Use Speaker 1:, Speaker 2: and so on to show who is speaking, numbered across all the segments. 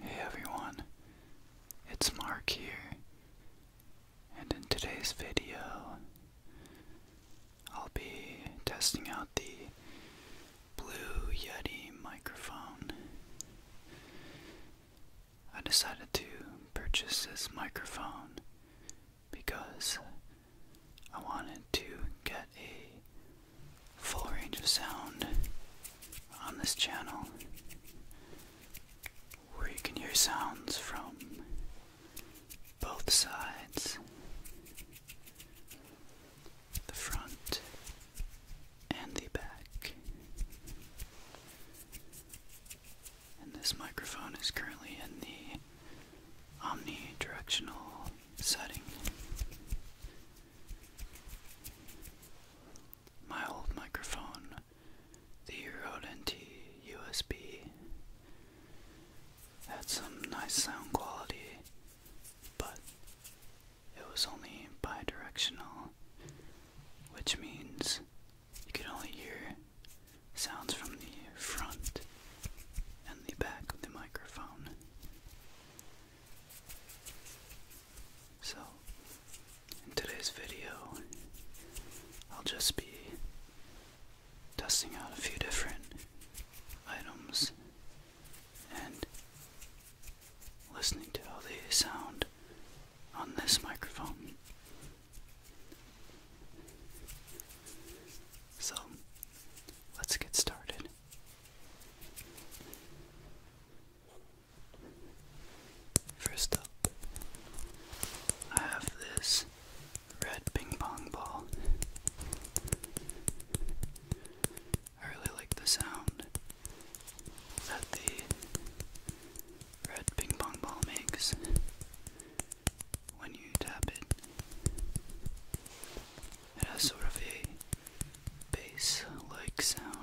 Speaker 1: Hey everyone, it's Mark here, and in today's video, I'll be testing out the Blue Yeti microphone. I decided to purchase this microphone because I wanted to get a full range of sound on this channel where you can hear sounds from both sides the front and the back. And this microphone is currently in the omnidirectional setting. My old microphone, the Rode NT USB, had some nice sound quality, but it was only bidirectional, which means you could only hear sounds from the front and the back of the microphone. So, in today's video, I'll just be testing out a few different items and listening to how they sound on this microphone. So, let's get started. First up, I have this red ping pong ball. I really like the sound that the red ping pong ball makes when you tap it. It has sort of a bass like sound.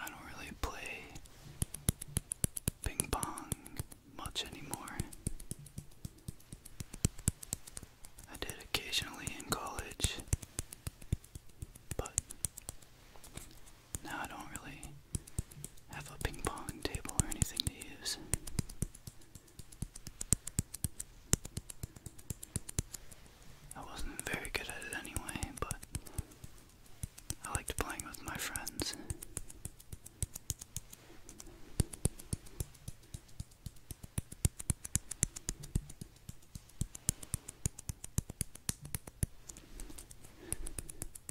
Speaker 1: I don't really play ping pong much anymore. I did occasionally in college, but now I don't really have a ping pong table or anything to use. I wasn't very good at it anyway, but I liked playing with my friends.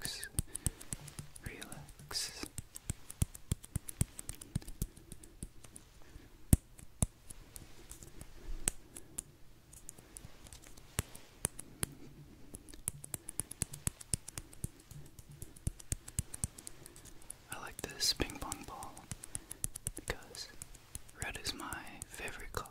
Speaker 1: relax, relax. I like this ping pong ball because red is my favorite color.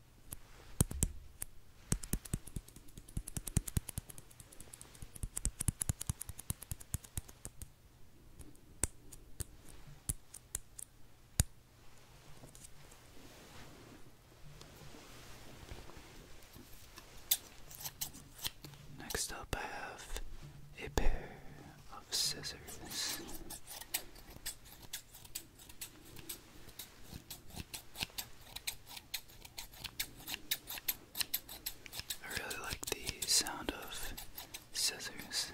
Speaker 1: Next up, I have a pair of scissors. I really like the sound of scissors.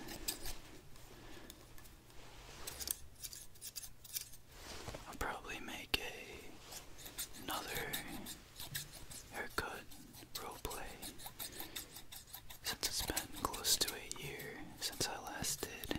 Speaker 1: I'll probably make a another haircut roleplay since it's been close to a year since I last did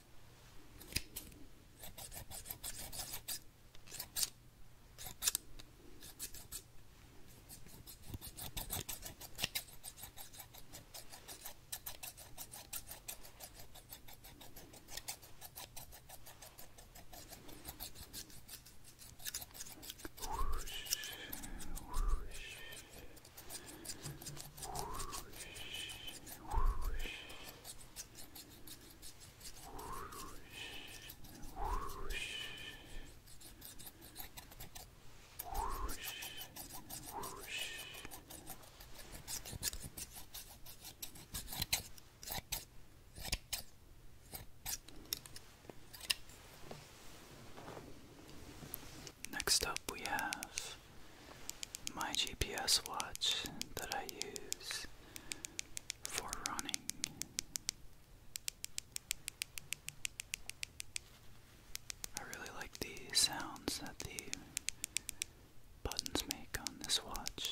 Speaker 1: Whoosh, whoosh. Next up, we have my GPS watch that I use for running. I really like the sounds that the buttons make on this watch.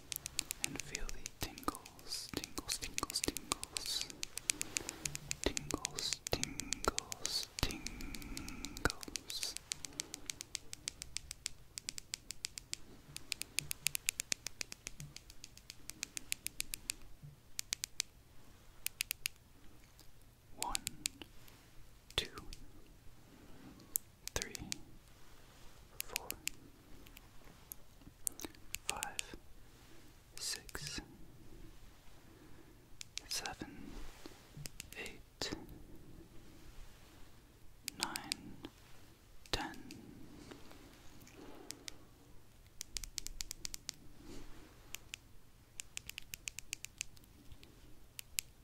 Speaker 1: and feel the tingles, tingles, tingles, tingles, tingles, tingles, tingles. One, two, three, four, five, six, seven, eight, nine, ten. Eleven,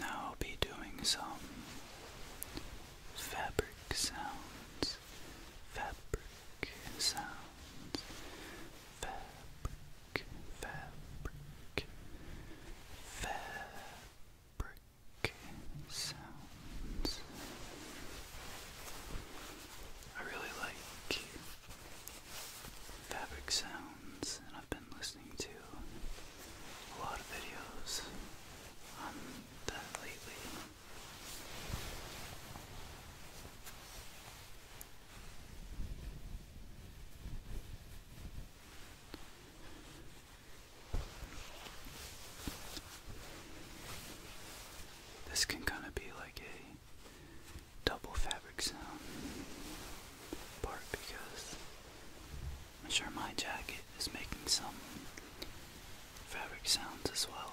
Speaker 1: Now I'll be doing some fabric sounds, fabric sounds fabric, fabric, fabric sounds. I really like fabric sounds, and I've been listening to a lot of videos on that lately. This can kind of be like a double fabric sound part because I'm sure my jacket is making some fabric sounds as well.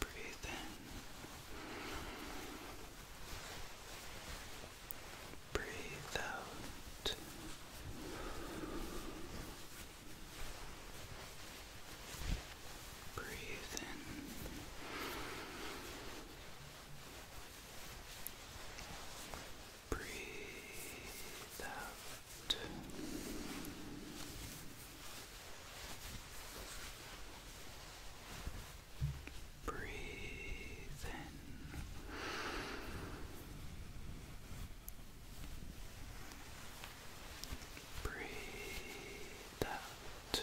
Speaker 1: Breathe in. Breathe out. Breathe in. Breathe out. Breathe in. Breathe out.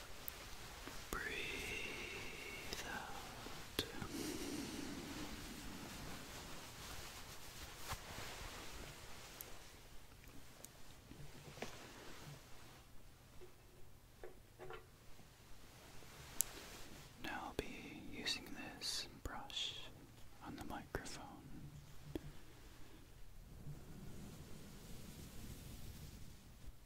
Speaker 1: Breathe Now I'll be using this brush on the microphone.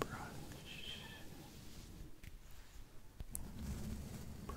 Speaker 1: brush, brush, whoosh, whoosh, whoosh. Whoosh,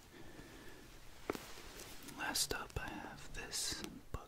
Speaker 1: Last up, I have this book.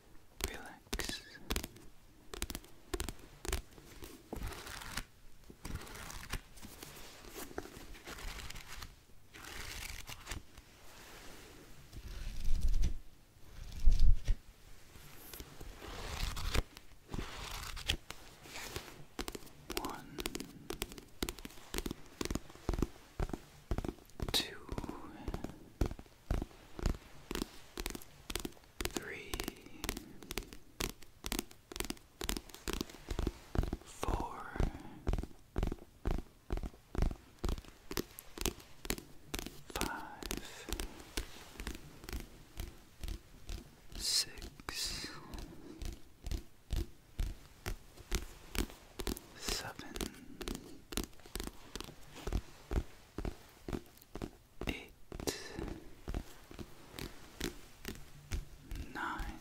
Speaker 1: relax. One, two, three, four, five, six, seven eight, nine,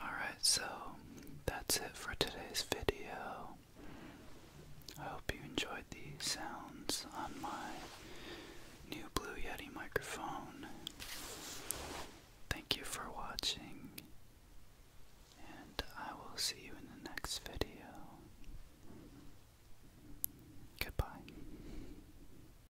Speaker 1: Alright, so that's it for today's video. I hope you enjoyed the sounds on my new Blue Yeti microphone. Thank you for watching, and I will see you in the next video. Goodbye.